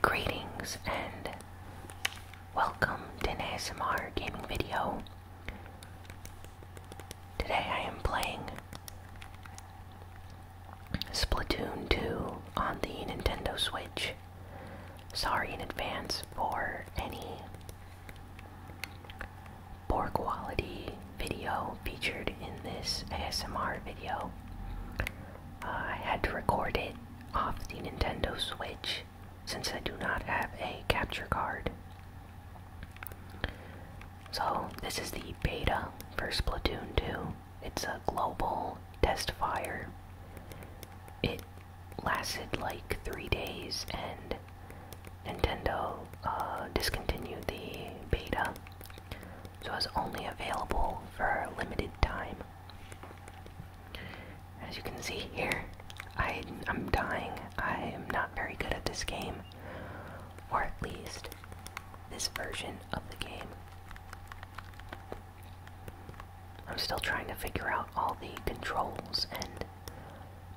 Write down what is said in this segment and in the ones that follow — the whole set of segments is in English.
Greetings and welcome to an ASMR gaming video. Today I am playing Splatoon 2 on the Nintendo Switch. Sorry in advance for any poor quality video featured in this ASMR video. I had to record it off the Nintendo Switch since I do not have a capture card. So, this is the beta first platoon 2. It's a global test fire. It lasted like three days and Nintendo uh, discontinued the beta so it's only available for a limited time. As you can see here, I, I'm dying. I am not very good at this game, or at least this version of the game. I'm still trying to figure out all the controls, and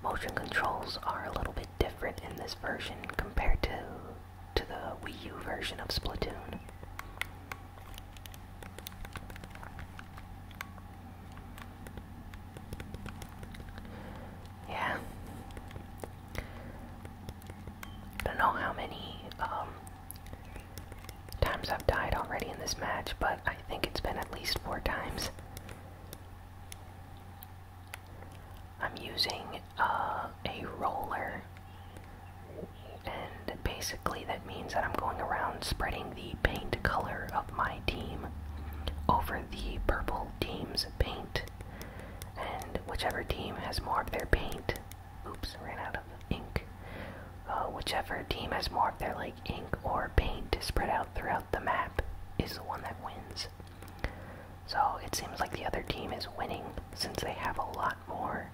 motion controls are a little bit different in this version compared to to the Wii U version of Splatoon. Yeah. don't know how many um, times I've died already in this match, but I think it's been at least four times. I'm using uh, a roller, and basically that means that I'm going around spreading the paint color of my team over the purple team's paint, and whichever team has more of their paint, oops, ran out of ink. Uh, whichever team has more of their like ink or paint spread out throughout the map is the one that wins. So it seems like the other team is winning since they have a lot more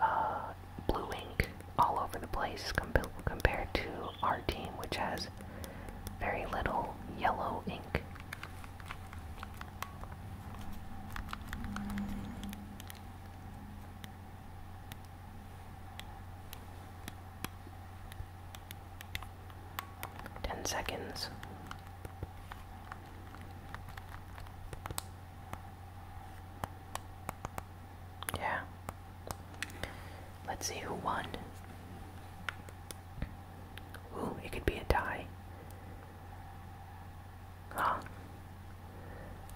uh, blue ink all over the place compared to our team, which has very little yellow ink. Ten seconds. Yeah. Let's see who won. Ooh, it could be a tie. Huh.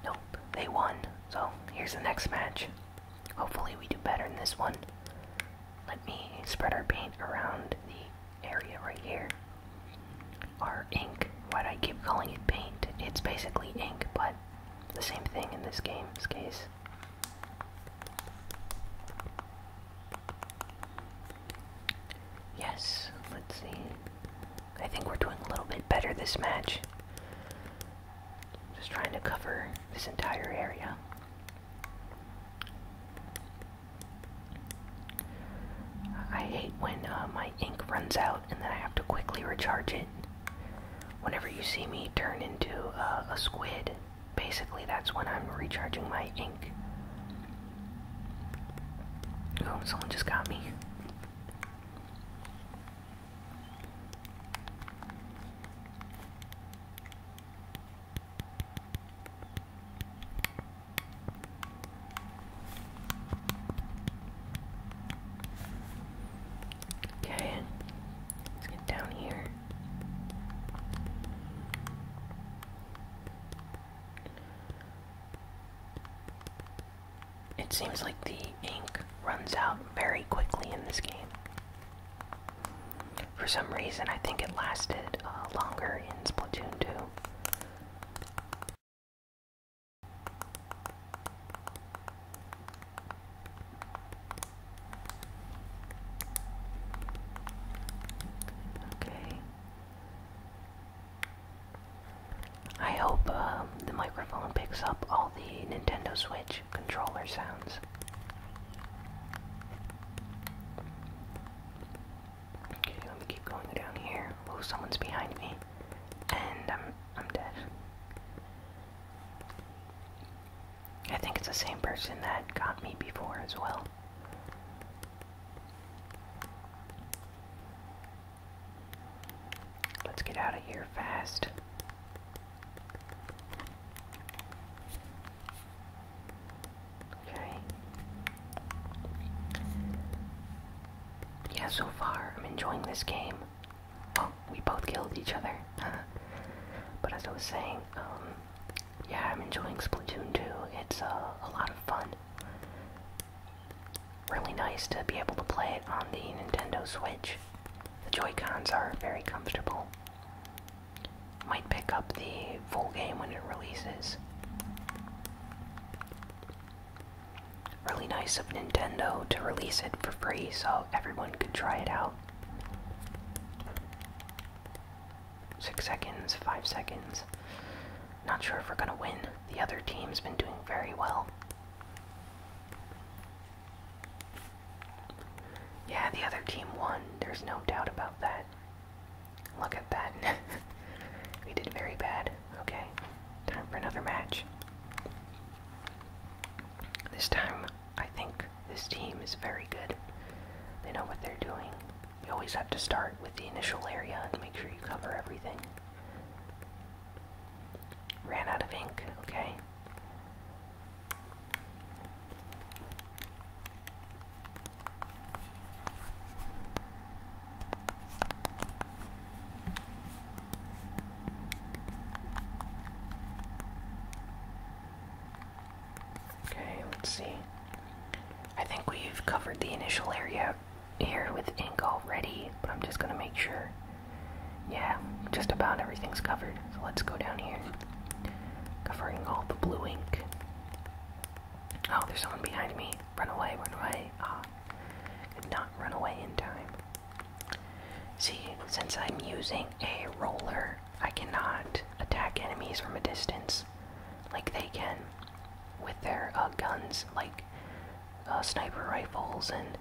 Nope, they won. So here's the next match. Hopefully, we do better in this one. Let me spread our paint around the area right here are ink. Why do I keep calling it paint? It's basically ink, but the same thing in this game. game's case. Yes, let's see. I think we're doing a little bit better this match. Just trying to cover this entire area. I hate when uh, my ink runs out and then I have to quickly recharge it. Whenever you see me turn into uh, a squid, basically that's when I'm recharging my ink. Oh, someone just got me. Okay, let's get down here. It seems like the ink runs out very quickly in this game. For some reason, I think it lasted uh, longer in Splatoon 2. Okay. I hope um, the microphone picks up all the Nintendo Switch controller sounds. Okay, let me keep going down here. Oh, someone's behind me. And I'm I'm dead. I think it's the same person that got me before as well. Let's get out of here fast. Okay. Yeah, so far I'm enjoying this game. Oh, we both killed each other. but as I was saying, um, yeah, I'm enjoying Splatoon 2. It's uh, a lot of fun. Really nice to be able to play it on the Nintendo Switch. The Joy-Cons are very comfortable. Might pick up the full game when it releases. Really nice of Nintendo to release it for free so everyone could try it out. Six seconds, five seconds. Not sure if we're gonna win. The other team's been doing very well. Yeah, the other team won. There's no doubt about that. Look at that. we did very bad. Okay. Time for another match. This time, I think this team is very good. They know what they're doing. You always have to start with the initial area and make sure you cover everything. Ran out of ink, okay. Okay, let's see. I think we've covered the initial area here with ink already, but I'm just gonna make sure. Yeah, just about everything's covered. So let's go down here covering all the blue ink. Oh, there's someone behind me. Run away, run away. Ah, could not run away in time. See, since I'm using a roller, I cannot attack enemies from a distance like they can with their uh, guns, like uh, sniper rifles and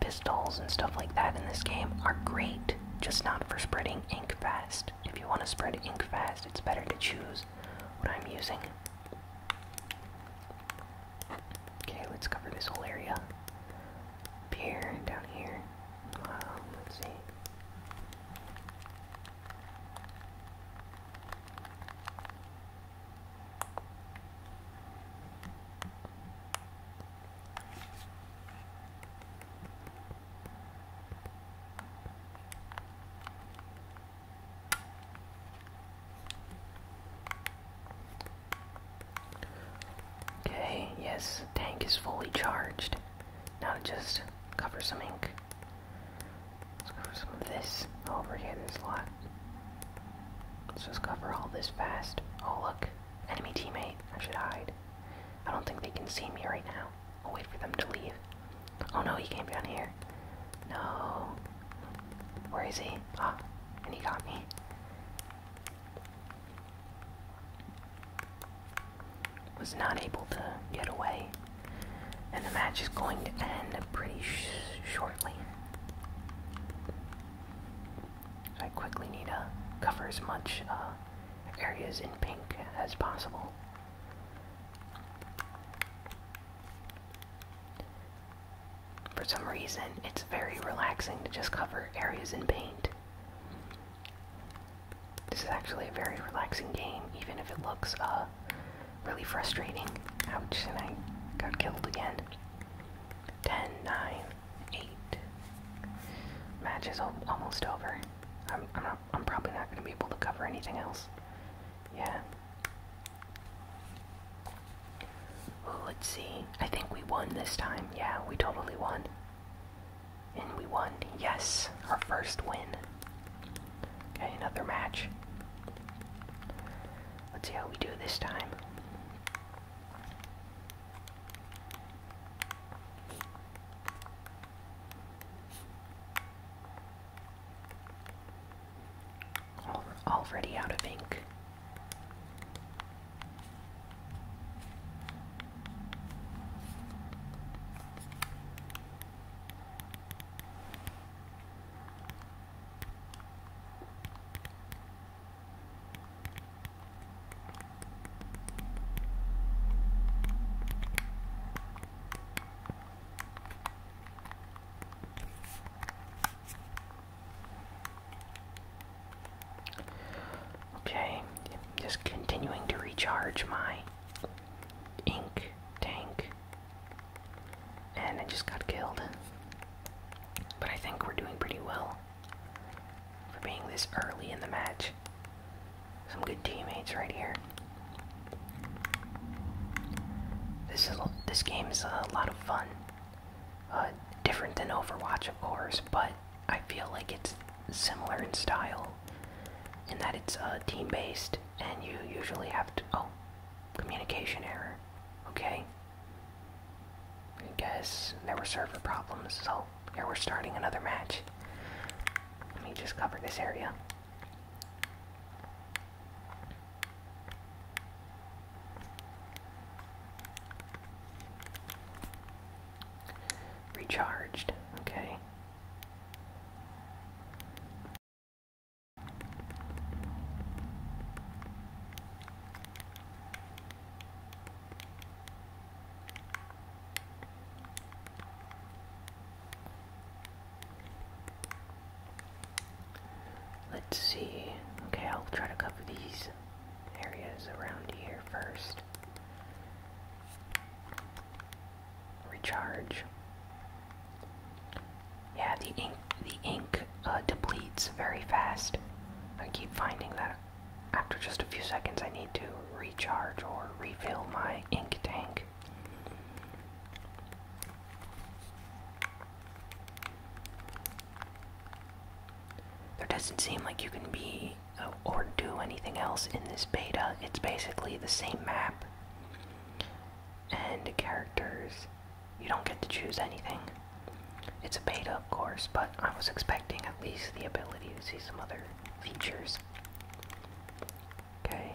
pistols and stuff like that in this game are great, just not for spreading ink fast. If you want to spread ink fast, it's better to choose what I'm using. Okay, let's cover this whole area. here, down here. Um, let's see. Okay, yes, tank is fully charged. Now to just cover some ink. Let's cover some of this. Over here, there's a lot. Let's just cover all this fast. Oh, look. Enemy teammate. I should hide. I don't think they can see me right now. I'll wait for them to leave. Oh no, he came down here. No. Where is he? Ah, and he got me. Was not able to get away. And the match is going to end pretty shortly. I quickly need to cover as much uh, areas in pink as possible. For some reason, it's very relaxing to just cover areas in paint. This is actually a very relaxing game, even if it looks uh, really frustrating. Ouch, and I got killed again. 10, 9, eight. Match is almost over. I'm, I'm, probably not going to be able to cover anything else. Yeah. let's see. I think we won this time. Yeah, we totally won. And we won. Yes, our first win. Okay, another match. Let's see how we do this time. Already out of ink. Okay, just continuing to recharge my ink tank. And I just got killed. But I think we're doing pretty well for being this early in the match. Some good teammates right here. This is this game is a lot of fun. Uh, different than Overwatch, of course, but I feel like it's similar in style, in that it's uh, team-based, and you usually have oh, communication error. Okay. I guess there were server problems, so here we're starting another match. Let me just cover this area. Recharged, okay. Let's see. Okay, I'll try to cover these areas around here first. Recharge. Yeah, the ink the ink it uh, depletes very fast. I keep finding that after just a few seconds I need to recharge or refill my ink tank. There doesn't seem like you can be uh, or do anything else in this beta. It's basically the same map and characters you don't get to choose anything. It's a beta, of course, but I was expecting at least the ability to see some other features. Okay.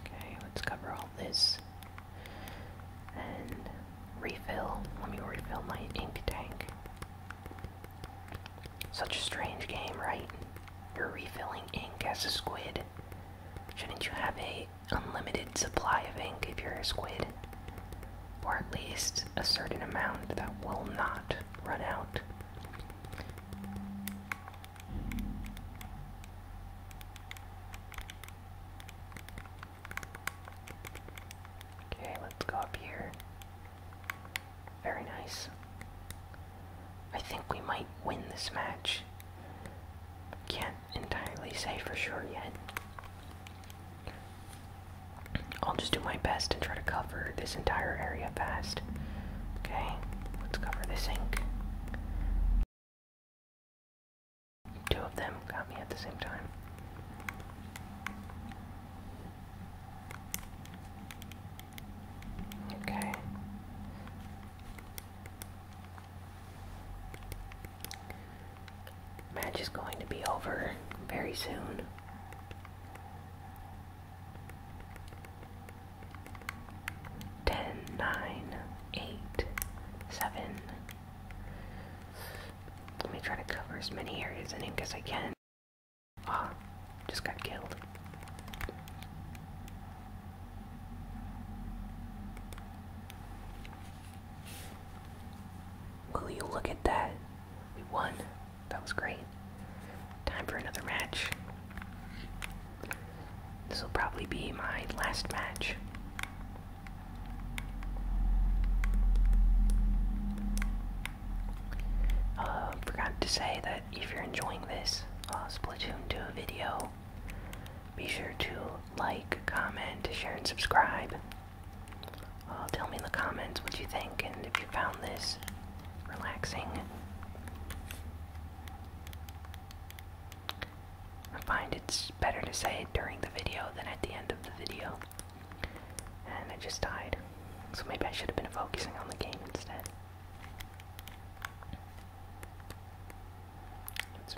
Okay, let's cover all this. And refill. Let me refill my ink tank. Such a strange game, right? You're refilling ink as a squid. Shouldn't you have a unlimited supply of ink if you're a squid? Or at least a certain amount that will not run out. Okay, let's go up here. Very nice. I think we might win this match. Can't entirely say for sure yet. I'll just do my best and try to cover this entire area fast. Okay, let's cover this ink. Two of them got me at the same time. Okay. Match is going to be over very soon. Ten, nine, eight, seven. Let me try to cover as many areas in ink as I can. Ah, just got killed. Will you look at that? We won. That was great. Time for another match. This will probably be my last match. Uh, forgot to say that if you're enjoying this uh, Splatoon 2 video, be sure to like, comment, share, and subscribe. Uh, tell me in the comments what you think and if you found this relaxing. I find it's better to say it during the video than at the end of the video. And it just died. So maybe I should have been focusing on the game instead. Let's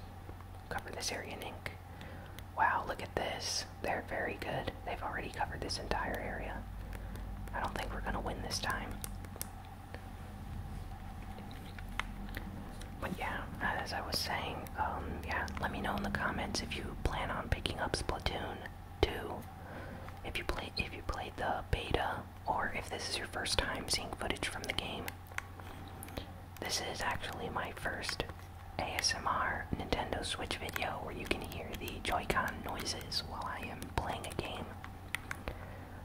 cover this area in ink. Wow, look at this. They're very good. They've already covered this entire area. I don't think we're gonna win this time. But yeah, as I was saying, um, yeah, let me know in the comments if you plan on picking up Splatoon 2. If you play, if you played the beta, or if this is your first time seeing footage from the game. This is actually my first ASMR Nintendo Switch video where you can hear the Joy-Con noises while I am playing a game.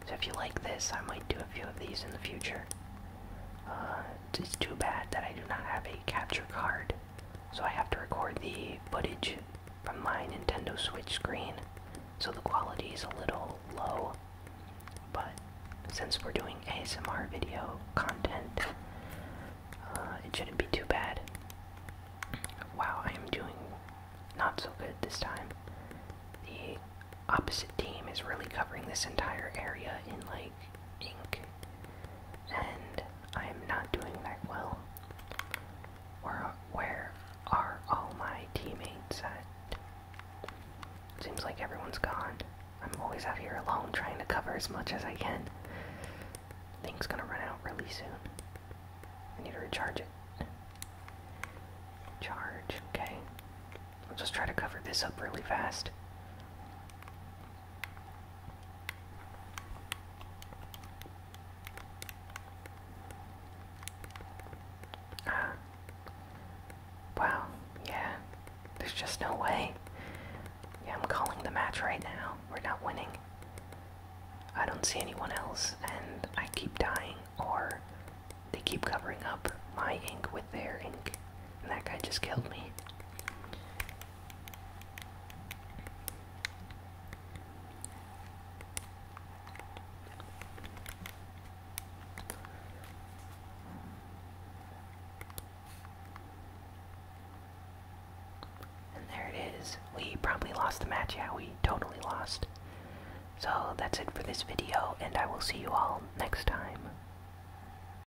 So if you like this, I might do a few of these in the future. Uh, it's too bad that I do not have a capture card so I have to record the footage from my Nintendo Switch screen. So the quality is a little low. But since we're doing ASMR video content, uh, it shouldn't be too bad. Wow, I am doing not so good this time. The opposite team is really covering this entire area in like ink and I am not doing that well. Where, where are all my teammates at? Seems like everyone's gone. I'm always out here alone trying to cover as much as I can. Thing's gonna run out really soon. I need to recharge it. Charge, okay. I'll just try to cover this up really fast. Wow, yeah. There's just no way. Yeah, I'm calling the match right now. We're not winning. I don't see anyone else, and I keep dying, or they keep covering up my ink with their ink, and that guy just killed me. And there it is. We probably lost the match. Yeah, we totally lost. So that's it for this video, and I will see you all next time.